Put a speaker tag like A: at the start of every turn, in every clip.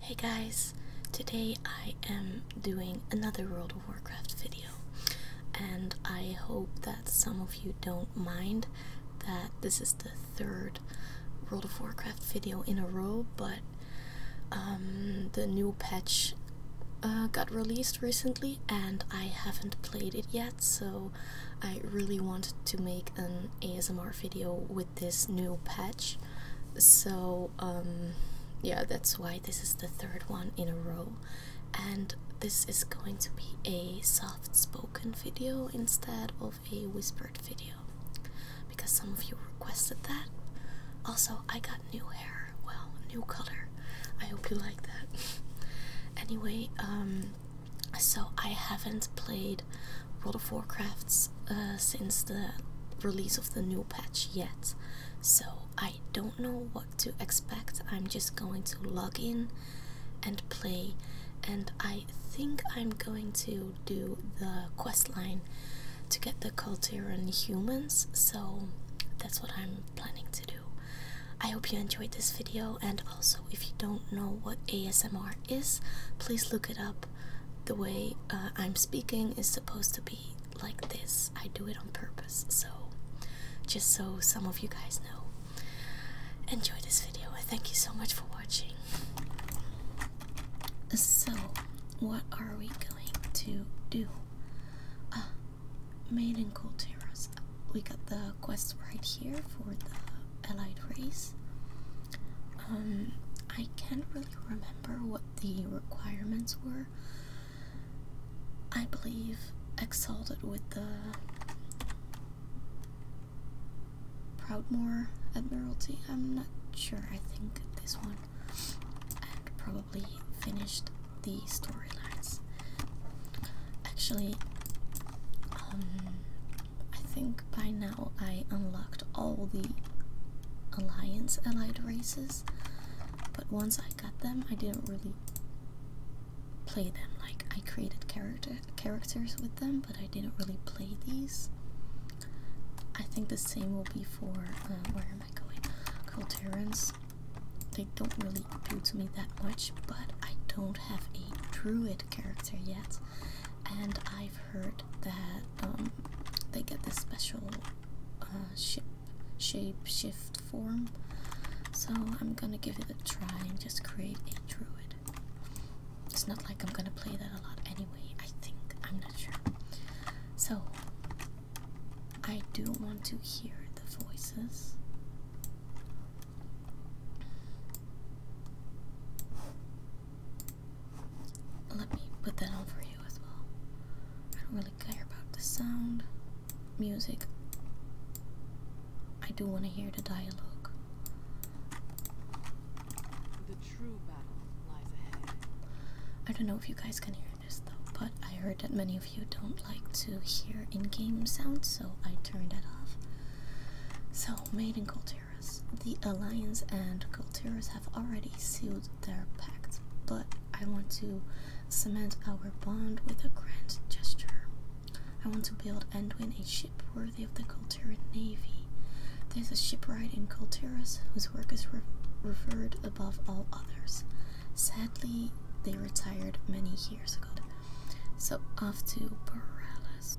A: Hey guys, today I am doing another World of Warcraft video and I hope that some of you don't mind that this is the third World of Warcraft video in a row but um, the new patch uh, got released recently and I haven't played it yet so I really wanted to make an ASMR video with this new patch so um yeah that's why this is the third one in a row and this is going to be a soft spoken video instead of a whispered video because some of you requested that also i got new hair well new color i hope you like that anyway um so i haven't played world of Warcrafts. Uh, since the release of the new patch yet, so I don't know what to expect. I'm just going to log in and play, and I think I'm going to do the quest line to get the Culturan humans. So that's what I'm planning to do. I hope you enjoyed this video, and also if you don't know what ASMR is, please look it up the way uh, I'm speaking is supposed to be like this. I do it on purpose, so just so some of you guys know. Enjoy this video thank you so much for watching. So, what are we going to do? Uh, Maiden Cool Terrace. We got the quest right here for the allied race. Um, I can't really remember what the requirements were. I believe Exalted with the Proudmore Admiralty. I'm not sure. I think this one and probably finished the storylines. Actually, um, I think by now I unlocked all the Alliance allied races, but once I got them, I didn't really play them. Like I created character characters with them, but I didn't really play these. I think the same will be for uh, where am I going? Culturans. They don't really appeal to me that much, but I don't have a druid character yet, and I've heard that um, they get this special uh, shape shift form. So I'm gonna give it a try and just create a druid. It's not like I'm gonna play that a lot anyway, I think. I'm not sure. So I do want to hear the voices. Let me put that on for you as well. I don't really care about the sound, music. I do want to hear the dialogue. The true battle lies ahead. I don't know if you guys can hear this though, but I heard that many of you don't like to hear in-game sounds, so I turned that off. So, maiden culture the Alliance and Kultiras have already sealed their pact, but I want to cement our bond with a grand gesture. I want to build and win a ship worthy of the Kultiran Navy. There's a shipwright in Kultiras whose work is revered above all others. Sadly, they retired many years ago. So off to Borealis.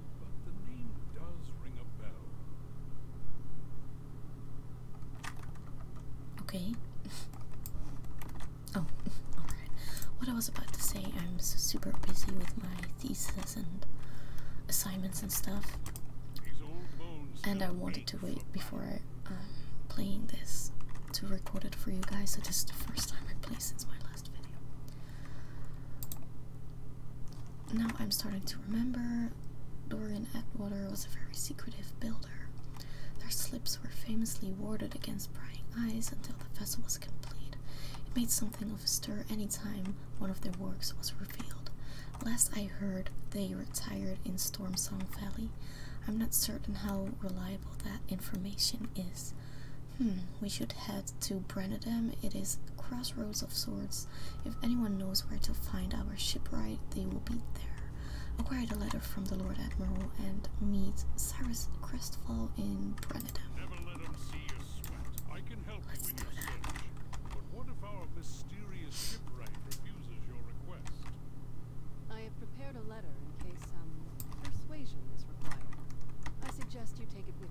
A: Okay. oh, alright. What I was about to say, I'm super busy with my thesis and assignments and stuff. And I wanted to wait before I, um, playing this to record it for you guys. So this is the first time I play since my last video. Now I'm starting to remember Dorian Atwater was a very secretive builder. Their slips were famously warded against prying eyes until the vessel was complete. It made something of a stir any time one of their works was revealed. Last I heard, they retired in Stormsong Valley. I'm not certain how reliable that information is. Hmm, we should head to Brenadam. It is crossroads of sorts. If anyone knows where to find our shipwright, they will be there. Acquire the letter from the Lord Admiral and meet Cyrus Crestfall in Brenadam. Never But what if our mysterious shipwright refuses your request? I have prepared a letter in case some persuasion is required. I suggest you take it with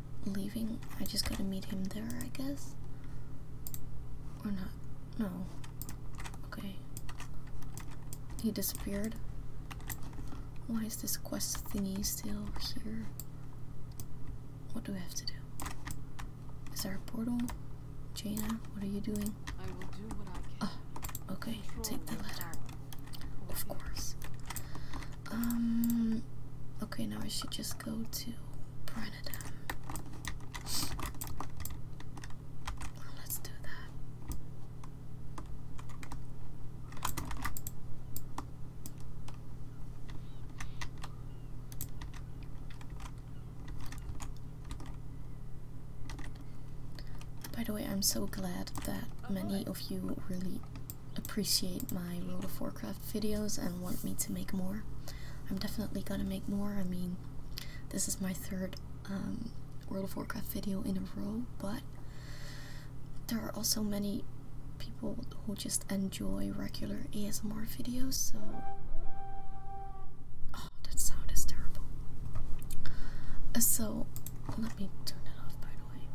A: leaving. I just gotta meet him there, I guess. Or not. No. Okay. He disappeared. Why is this quest thingy still here? What do we have to do? Is there a portal? Jaina, what are you doing? I will do what I can. Oh, okay. Take the letter. Of course. Um. Okay, now I should just go to um. let's do that. By the way, I'm so glad that oh, many of you really appreciate my World of Warcraft videos and want me to make more. I'm definitely gonna make more. I mean, this is my third um, World of Warcraft video in a row, but there are also many people who just enjoy regular ASMR videos, so. Oh, that sound is terrible. so, let me turn it off by the way.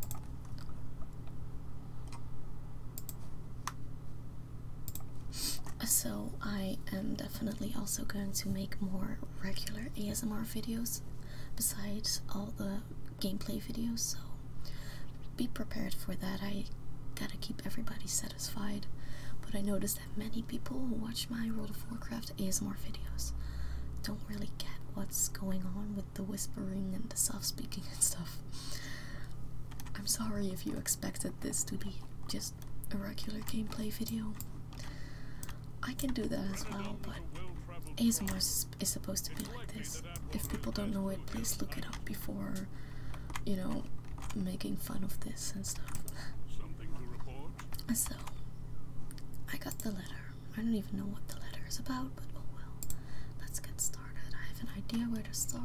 A: So, I am definitely also going to make more regular ASMR videos besides all the gameplay videos. So, be prepared for that. I gotta keep everybody satisfied. But I noticed that many people who watch my World of Warcraft ASMR videos don't really get what's going on with the whispering and the soft speaking and stuff. I'm sorry if you expected this to be just a regular gameplay video. I can do that as well, but ASMR is supposed to be like this. If people don't know it, please look it up before, you know, making fun of this and stuff. So, I got the letter. I don't even know what the letter is about, but oh well. Let's get started. I have an idea where to start.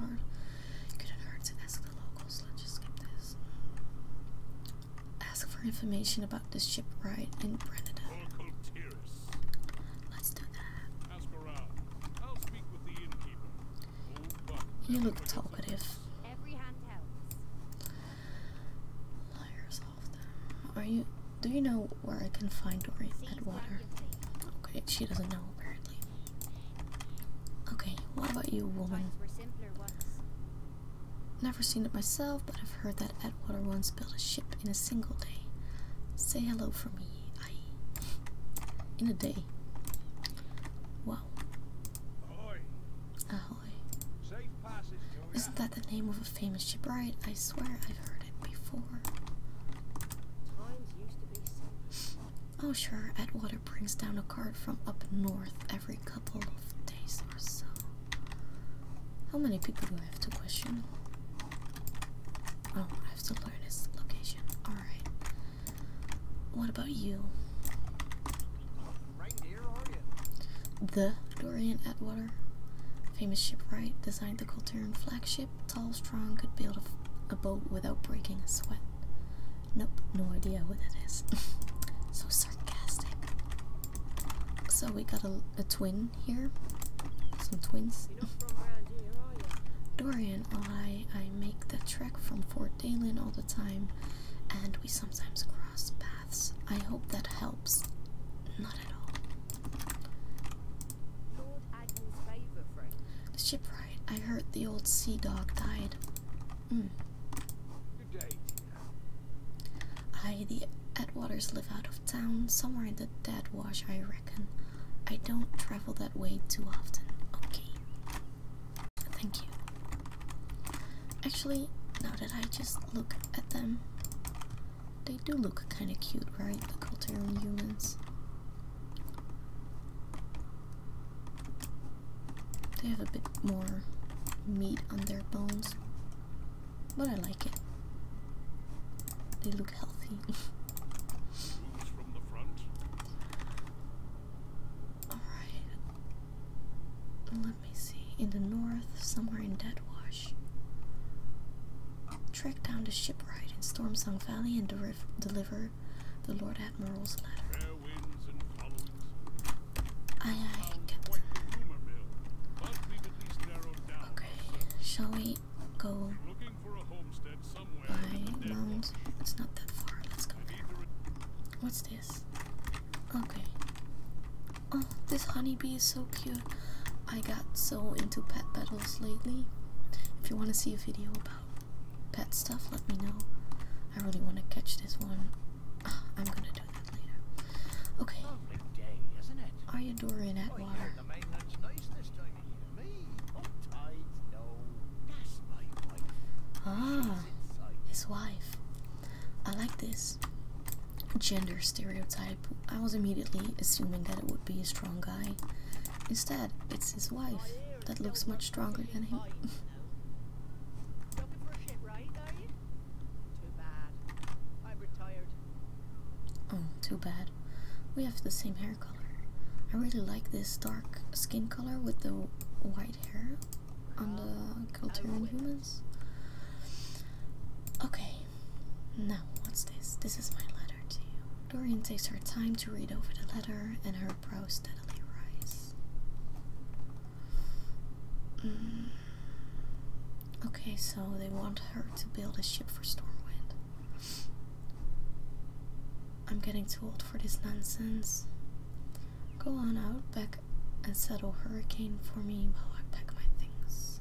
A: It could hurt to ask the locals. Let's just skip this. Ask for information about the ship ride in Brennida. Let's do that. Ask I'll speak with the innkeeper. You look talkative. Liars off them. Are you? Do you know where I can find Dory at water? Okay, she doesn't know apparently. Okay, what about you, woman? Never seen it myself, but I've heard that Atwater once built a ship in a single day. Say hello for me, aye. In a day. Wow. Ahoy. Ahoy. Isn't that the name of a famous shipwright? I swear I've heard it before. Oh, sure, Atwater brings down a cart from up north every couple of days or so. How many people do I have to question? Oh, I have to learn his location. Alright. What about you? the Dorian Atwater, famous shipwright, designed the Colteran flagship tall, strong, could build a, boat without breaking a sweat. Nope, no idea what that is. so sarcastic. So we got a, a twin here. Some twins. Dorian, I, I make the trek from Fort Dalen all the time, and we sometimes cross paths. I hope that helps. Not at all. The shipwright. I heard the old sea dog died. Mm. I, the Atwaters, live out of town, somewhere in the dead wash, I reckon. I don't travel that way too often. Okay. Thank you. Actually, now that I just look at them, they do look kind of cute, right? The Culturian humans. They have a bit more meat on their bones, but I like it. They look healthy. Alright. Let me see. In the north, somewhere in Deadwash. Track down the shipwright in Stormsong Valley and deliver, the Lord Admiral's letter. Aye, Okay, shall we go by Mount? It's not that far. Let's go there. What's this? Okay. Oh, this honeybee is so cute. I got so into pet battles lately. If you want to see a video about pet stuff, let me know. I really want to catch this one. I'm gonna do that later. Okay. Day, isn't oh, Ah, his wife. I like this gender stereotype. I was immediately assuming that it would be a strong guy. Instead, it's his wife. That looks much stronger than him. oh, too bad. We have the same hair color. I really like this dark skin color with the white hair on the Culturan humans. Okay, now what's this? This is my letter to you. Dorian takes her time to read over the letter, and her brow steadily rise. Mm. Okay, so they want her to build a ship for Stormwind. I'm getting too old for this nonsense. Go on out back and settle Hurricane for me while I pack my things.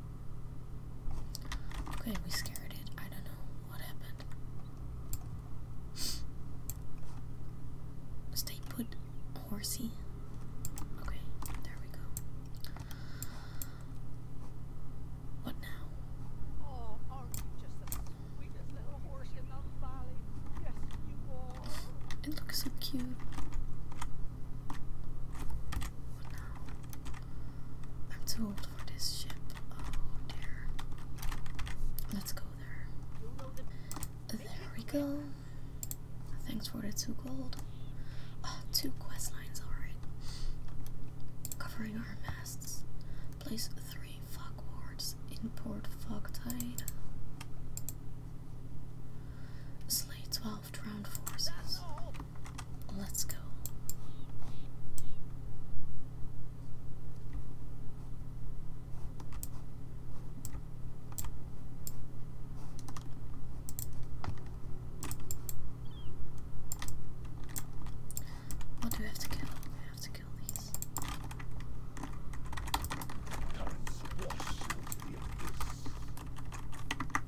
A: Okay, we scared it. I don't know what happened. Stay put, horsey. Okay, there we go. What now? Oh, it looks so cute no. I'm too old for this ship. Oh dear. Let's go there. There we go. Thanks for the two gold. Oh, two quest lines, alright. Covering our masts. Place three fog wards in port fog tide. Slay 12 soft round forces. Let's go. What do we have to kill? We have to kill these.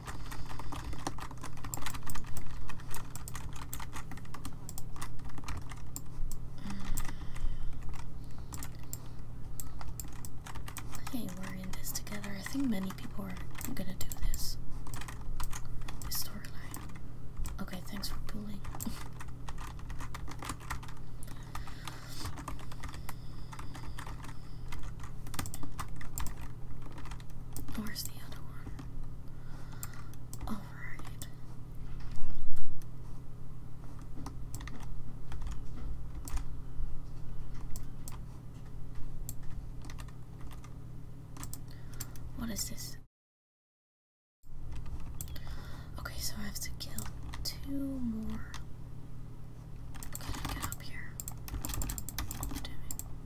A: Mm. Hey, we're in this together. I think many people are gonna do this. This Okay, thanks for pulling. Where's the other one? All right. What is this? Okay, so I have to kill two more. get up here?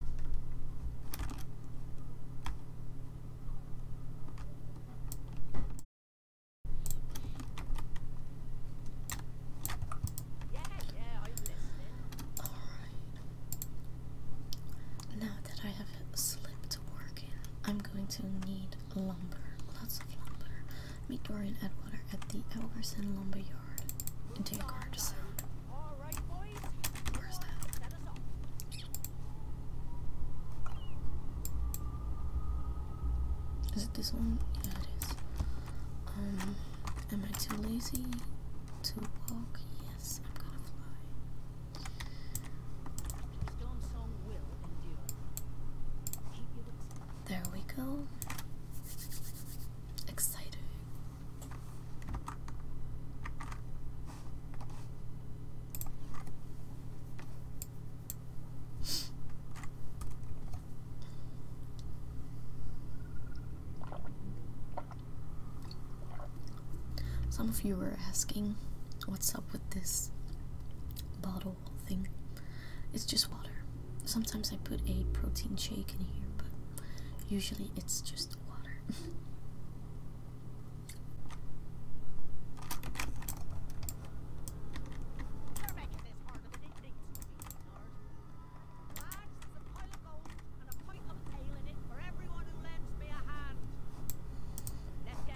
A: I'm Now that I have a work in, I'm going to need lumber, lots of lumber. Meet Dorian Edwater at the Elverson Lumber Yard in Deargard Sound. All right, boys. Where's that? it this one? Yeah, it is. Um, am I too lazy to walk? Yes, I'm gonna fly. Storm song will endure. Keep your lips. There we go. Exciting. Some of you were asking what's up with this bottle thing. It's just water. Sometimes I put a protein shake in here, but usually it's just water.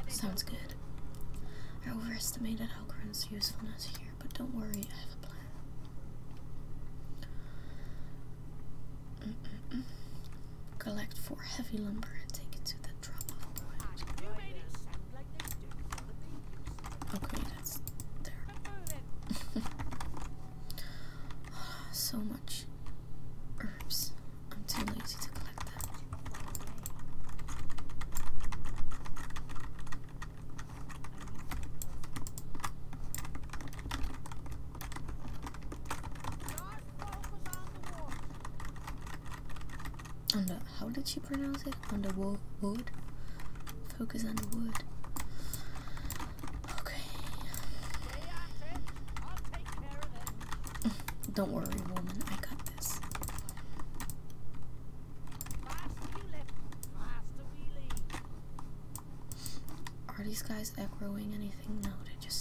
A: Sounds good. I overestimated Algren's usefulness here, but don't worry, I have a plan. Collect four heavy lumber and take it to the drop off point. Okay, that's there. so much herbs. I'm too lazy to collect them. On how did she pronounce it? On the wo Focus on the wood. Okay. Don't worry, woman. I got this. Are these guys echoing anything? No, they just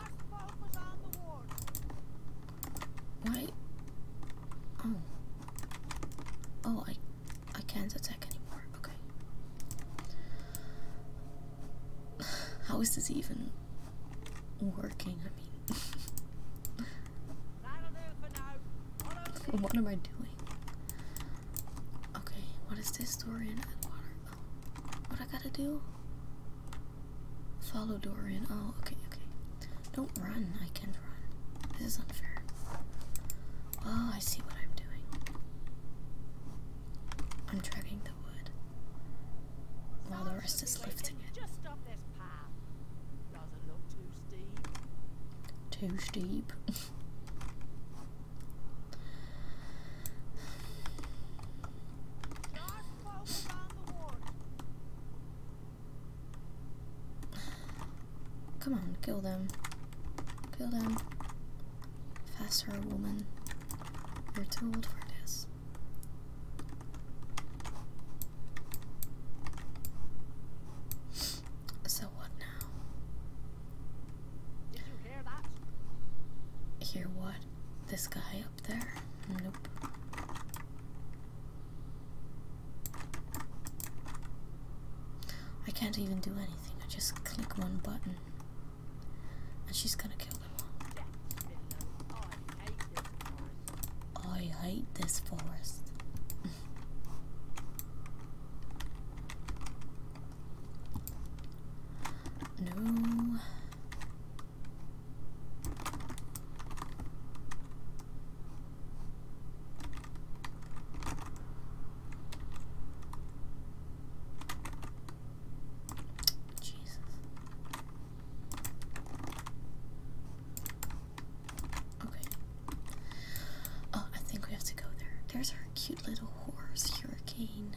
A: Why? Oh. Oh, I, I can't attack anymore. Okay. How is this even working? I mean, what am I doing? Okay, what is this? Dorian and water. Oh, what I gotta do? Follow Dorian. Oh, okay, okay. Don't run. I can't run. This is unfair. Oh, I see what I'm doing. I'm dragging the wood while the rest is lifting it. Too steep. Come on, kill them. Kill them. Faster, woman. You're too old for this. So what now? Did you hear that? Hear what? This guy there? Nope. I can't even do anything. I just click one button. And she's gonna kill me. I hate this forest. no. Jesus. Okay. Oh, I think we have to go there. There's our cute little horse, Hurricane.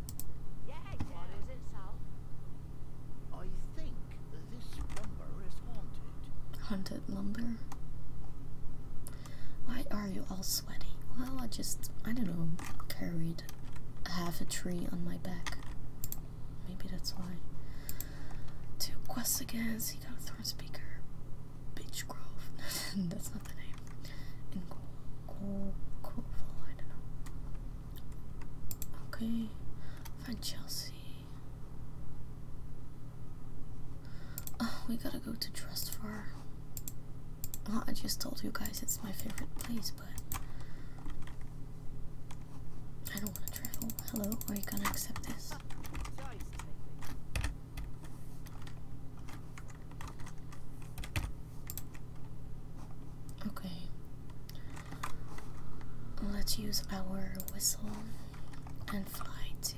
A: Haunted lumber. Why are you all sweaty? Well, I just, I don't know, carried half a tree on my back. Maybe that's why. Two quests again, Seacock Thorn Speaker, Beach Grove. that's not the name. In Okay, find Chelsea. Oh, we gotta go to Trustfar. Well, I just told you guys it's my favorite place, but I don't want to travel. Hello, are you gonna accept this? Okay. Let's use our whistle and fly to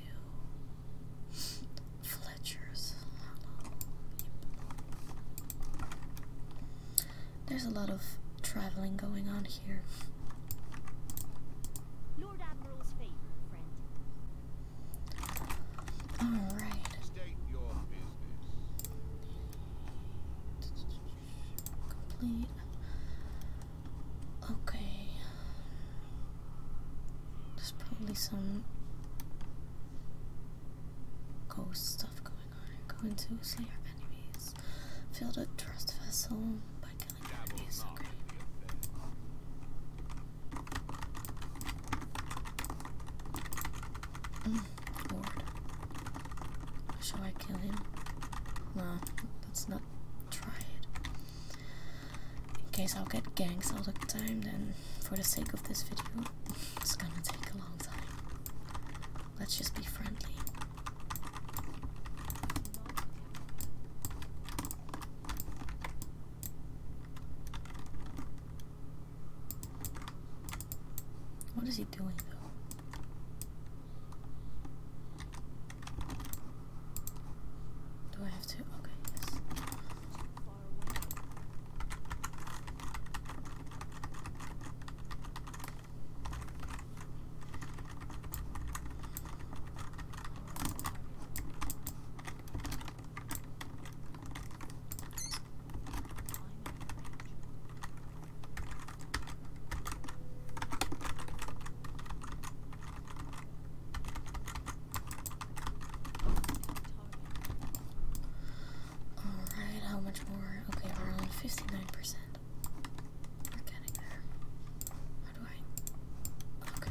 A: Fletcher's There's a lot of traveling going on here. All right. Complete. Okay. There's probably some ghost stuff going on. Go into slay our enemies. Fill the trust vessel by killing enemies. Lord. Shall I kill him? No, let's not try it. In case I'll get gangs all the time, then for the sake of this video, it's gonna take a long time. Let's just be friendly. What is he doing though? Do I have to? Okay, Alright, how much more? Okay, we're on 59%. We're getting there. How do I? Okay.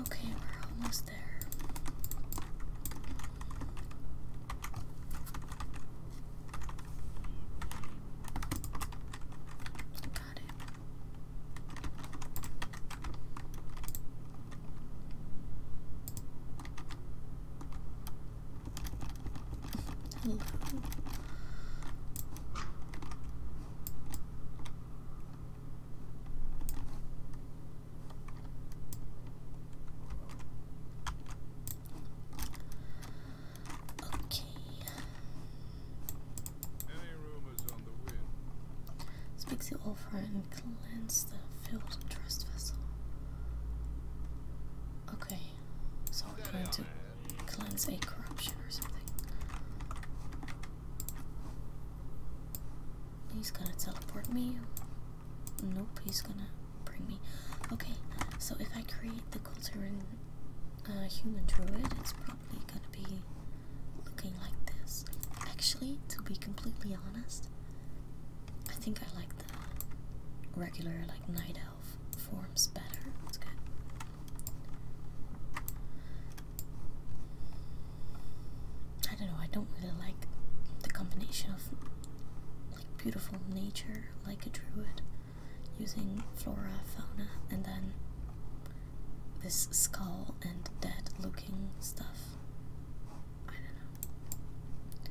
A: Okay, we're almost there. Got it. Hello. Okay. Speaks the offer and cleanse the filled trust vessel. Okay, so we're going to cleanse a corruption or something. He's gonna teleport me. Nope, he's gonna bring me. Okay, so if I create the culturing uh, human druid, it's probably probably gonna be looking like this. Actually, to be completely honest, I think I like the regular like night elf forms better. It's good. I don't know, I don't really like the combination of like beautiful nature like a druid using flora, fauna, and then this skull and dead looking stuff. I don't know.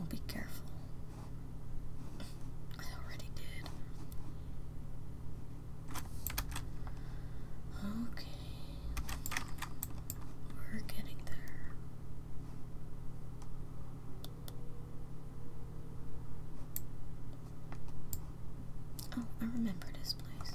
A: Oh, be careful. I already did. Okay. We're getting there. Oh, I remember this place.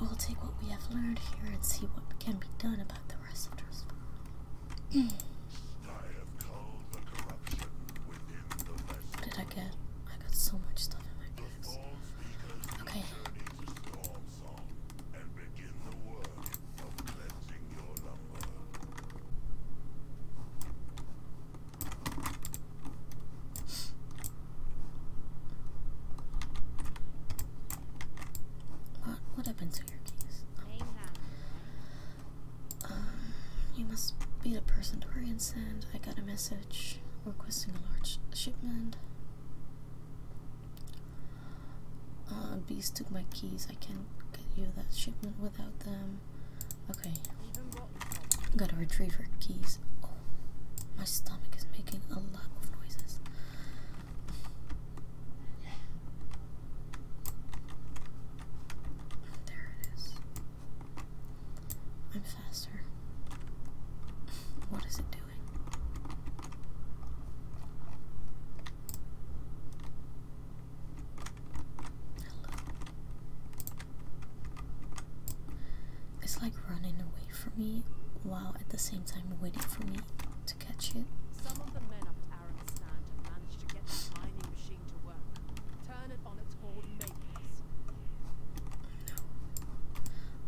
A: We'll take what we have learned here and see what can be done about the rest of Jerusalem. the corruption What did I get? I got so much stuff in my bags. Okay. What, what happened to your keys? Um, you must be the person Dorian sent. I got a message requesting a large shipment. Uh, bees took my keys. I can't get you that shipment without them. Okay. Gotta retrieve her keys. Oh, my stomach is making a lot of noises. There it is. I'm faster. What is it doing? Hello. It's like running away from me while at the same time waiting for me to catch it.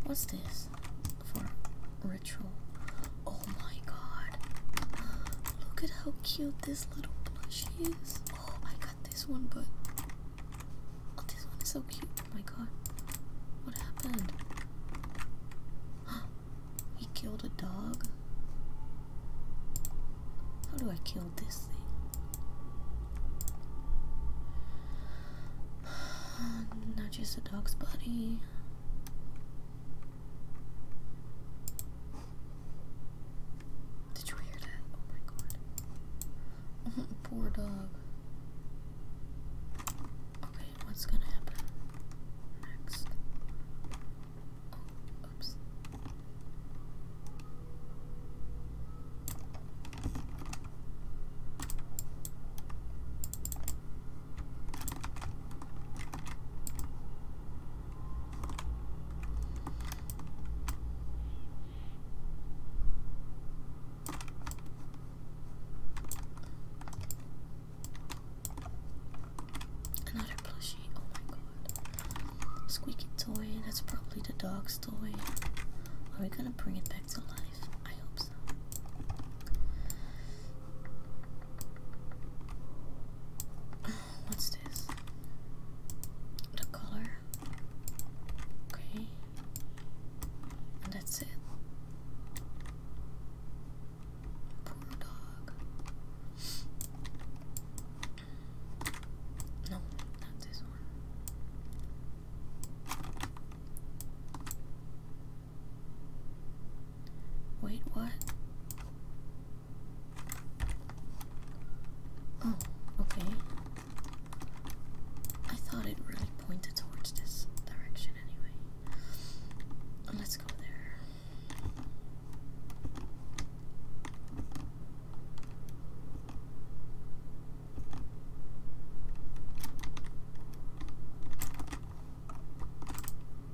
A: What's this? For ritual. Oh my god. Look at how cute this little plushie is. Oh, I got this one, but Oh, this one is so cute. Oh my god. What happened? he killed a dog? How do I kill this thing? Not just a dog's body. Did you hear that? Oh my god. Poor dog. Okay, what's gonna happen next? Oh, oops. Another plushie, oh my god. Squeaky toy, that's probably the dog's toy. Are we gonna bring it back to life? I hope so. What's this? The color. Okay. And that's it. Poor dog. No, not this one. Wait, what? Oh, okay. I thought it really pointed towards this direction anyway. Let's go there.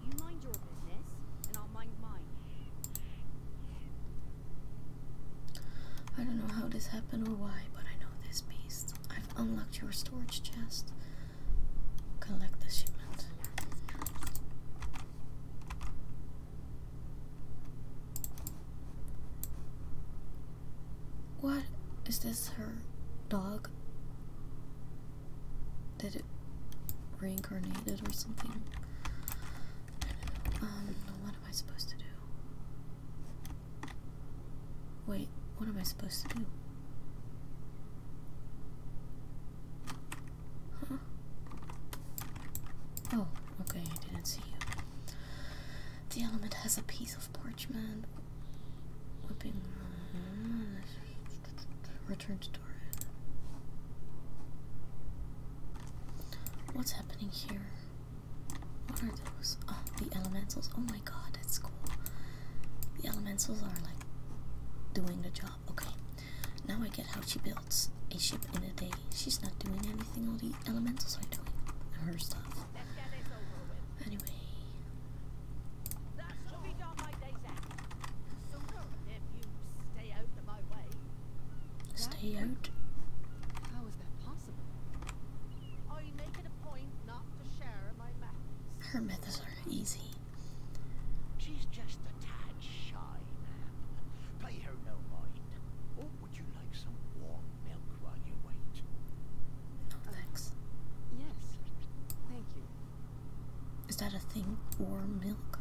A: You mind your business, and I'll mind mine. I don't know how this happened or why, but I know this beast. I've unlocked your storage chest. Collect the shipment. What? Is this her dog? Did it reincarnated or something? I don't know. Um, what am I supposed to do? Wait, what am I supposed to do? Huh? Oh, okay, I didn't see you. The element has a piece of parchment. Whipping. Uh, return to Doran. What's happening here? What are those? Oh, the elementals. Oh my god, that's cool. The elementals are like doing the job. Okay, now I get how she builds a ship in a day. She's not doing anything, all the elementals are doing her stuff. Anyway. Stay out. How is that possible? I make it a point not to share my methods. Her methods are easy. She's just a tad shy, ma'am. Pay her no mind. would you like some warm milk while you wait? thanks. yes. Thank you. Is that a thing? Warm milk?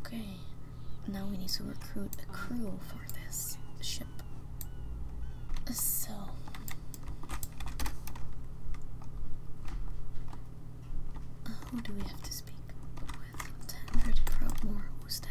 A: Okay, now we need to recruit a crew for this ship. So. Uh, who do we have to speak with? Tendred Proudmore, who's that?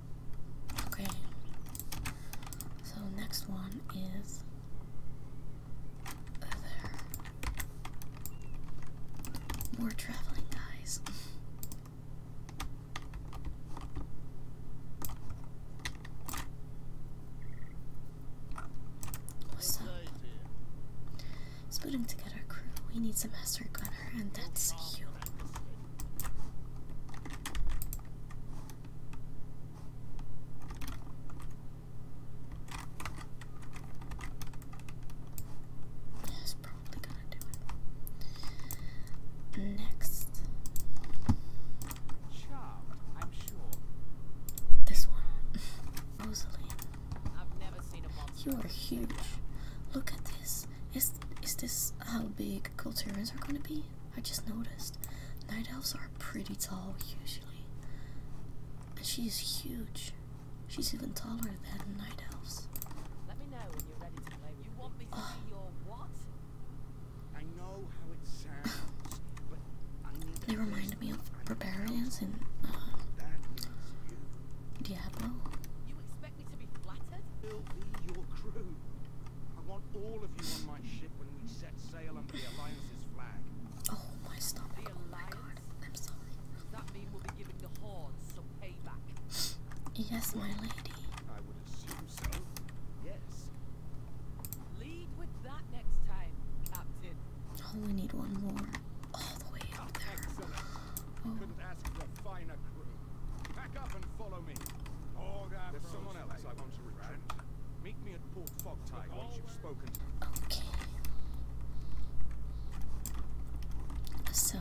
A: Okay. So next one is there. More traveling guys. What's up? Let's putting together a crew. We need some master gunner, and that's you. That's probably gonna do it. Next. Charmed, I'm sure. This one. Rosalie. I've never seen a monster. You are huge. Look at this. Is is this how big Culture are gonna be? I just noticed night elves are pretty tall usually. And she is huge. She's even taller than night elves. Let me know when you're ready to play. You want me to be your what? I know how it sounds, but I need They remind me of barbarians in uh, Diablo all of you on my ship when we set sail under the Alliance's flag. Oh, my stop! The oh, I'm sorry. that mean we'll be giving the hordes some payback? yes, my lady. I would assume so. Yes. Lead with that next time, Captain. Oh, we need one more. All the way up there. Excellent. Oh. Couldn't ask for a finer crew. Back up and follow me. Oh, There's someone else I want Meet me at Port Fogtide once you've spoken. Okay. So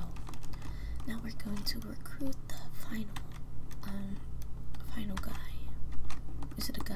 A: now we're going to recruit the final um final guy. Is it a guy?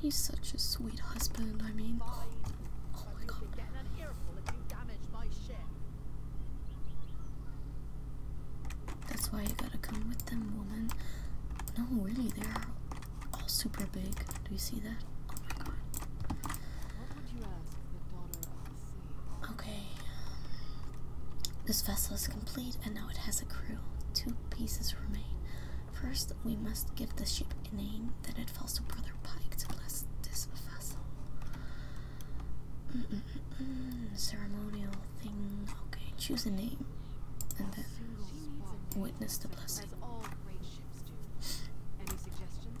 A: He's such a sweet husband, I mean. Oh my god. That's why you gotta come with them, woman. No, really, they're all super big. Do you see that? Oh my god. Okay. Um, this vessel is complete and now it has a crew. Two pieces remain. First, we must give the ship a name, then it falls to Brother Pike to bless this vessel. Ceremonial thing. Okay, choose a name and then witness the blessing. Any suggestions?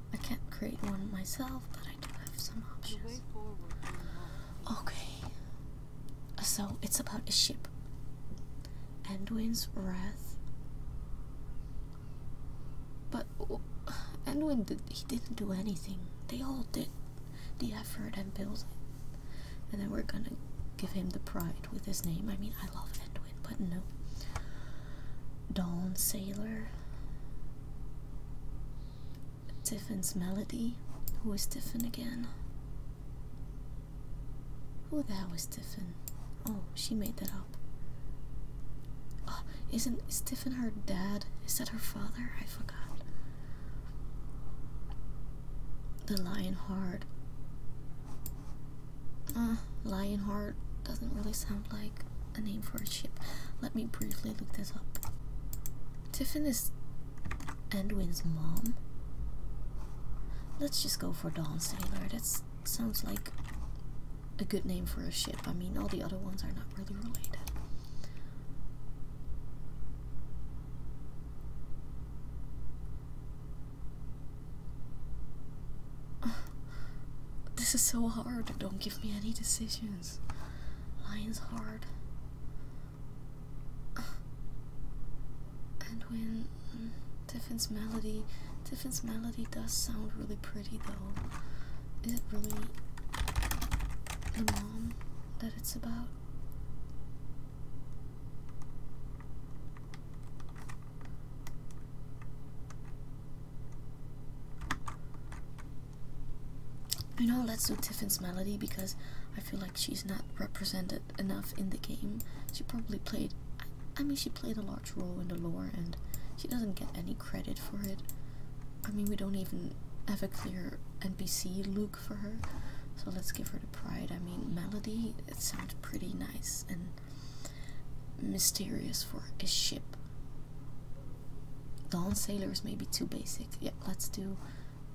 A: I can't create one myself, but I do have some options. Okay. So it's about a ship. Anduin's wrath. But oh, did, he didn't do anything. They all did the effort and built it. And then we're gonna give him the pride with his name. I mean I love Anduin, but no. Dawn Sailor, Tiffin's Melody. Who is Tiffin again? Who the hell is Tiffin? Oh, she made that up. Ah, isn't is Tiffin her dad? Is that her father? I forgot. The Lionheart. Uh, Lionheart doesn't really sound like a name for a ship. Let me briefly look this up. Tiffin is Edwin's mom. Let's just go for Dawn Sailor. That sounds like a good name for a ship. I mean, all the other ones are not really related. This is so hard. Don't give me any decisions. Lines hard. And when mm, Tiffin's melody, Tiffin's melody does sound really pretty though. Is it really the mom that it's about? I know let's do Tiffin's Melody because I feel like she's not represented enough in the game. She probably played, I mean, she played a large role in the lore and she doesn't get any credit for it. I mean, we don't even have a clear NPC look for her, so let's give her the pride. I mean, Melody, it sounds pretty nice and mysterious for a ship. Dawn Sailor is maybe too basic. Yeah, let's do.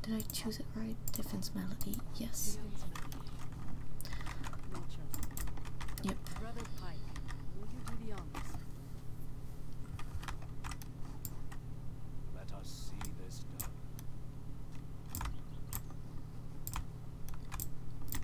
A: Did I choose it right? Defense Melody. Yes. Yep. Brother Pike, will you do the honors?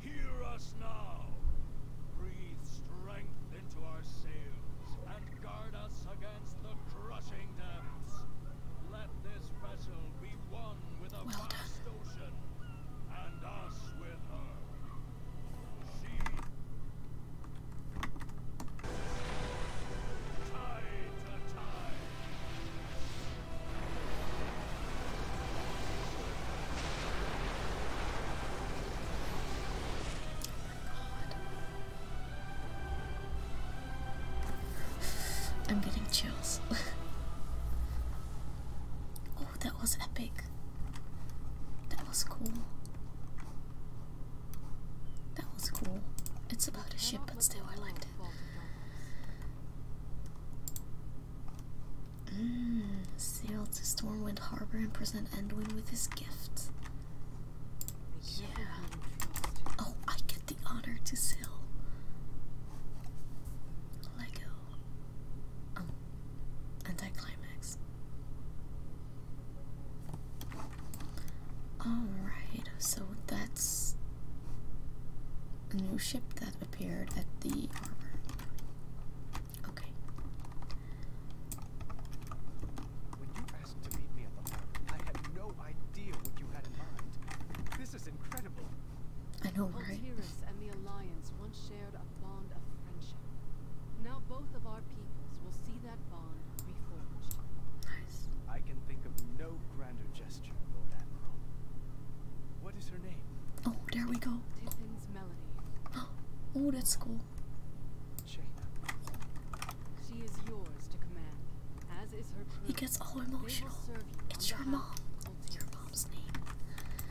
A: Hear us now. Breathe strength into our sails and guard us against the crushing depths. Let this vessel be one with a vast ocean and us with her. She... Tide to tide. I'm getting chills. oh, that was epic. That was cool. That was cool. It's about a ship, but still, I liked Mm, sail to Stormwind Harbor and present Endwin with his gift. Yeah. Oh, I get the honor to sail. Lego. Um, anticlimax. Alright, so that's a new ship that appeared at the harbor. Okay. I This is incredible. I know, right? Altiris and the Alliance once shared a bond of friendship. Now both of our peoples will see that bond reforged. I can think of no grander gesture. What is her name? Oh, there we go. Tiffin's Oh, that's cool. She is yours to command, as is her He gets all emotional. it's your mom.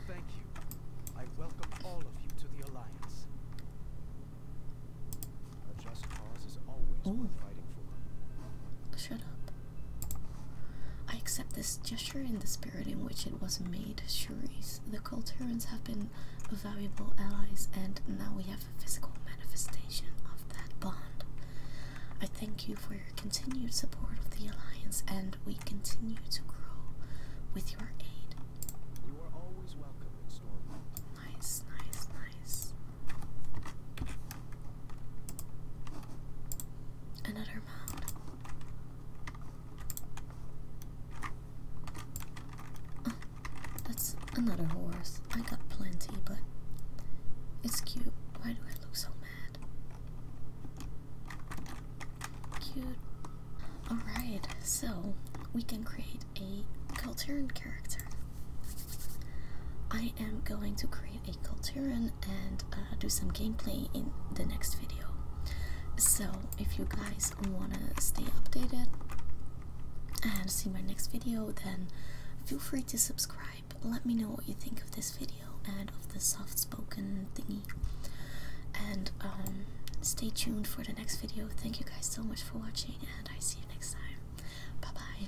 A: Thank you. I welcome all of you to the Alliance. A just cause is always oh. worth fighting for. Shut up. I accept this gesture in the spirit in which it was made, Shuris. The Culturans have been valuable allies, and now we have a physical manifestation of that bond. I thank you for your continued support of the Alliance, and we continue to grow with your aid. You are always welcome in Nice, nice, nice. Another mod. Oh, that's another horse. I got plenty, but it's cute. Why do I look so mad? Cute. Alright, so we can create a Culturan character. I am going to create a Culturan and uh, do some gameplay in the next video. So if you guys wanna stay updated and see my next video, then feel free to subscribe. Let me know what you think of this video and of the soft-spoken thingy. And um, stay tuned for the next video. Thank you guys so much for watching, and I see you next time. Bye bye.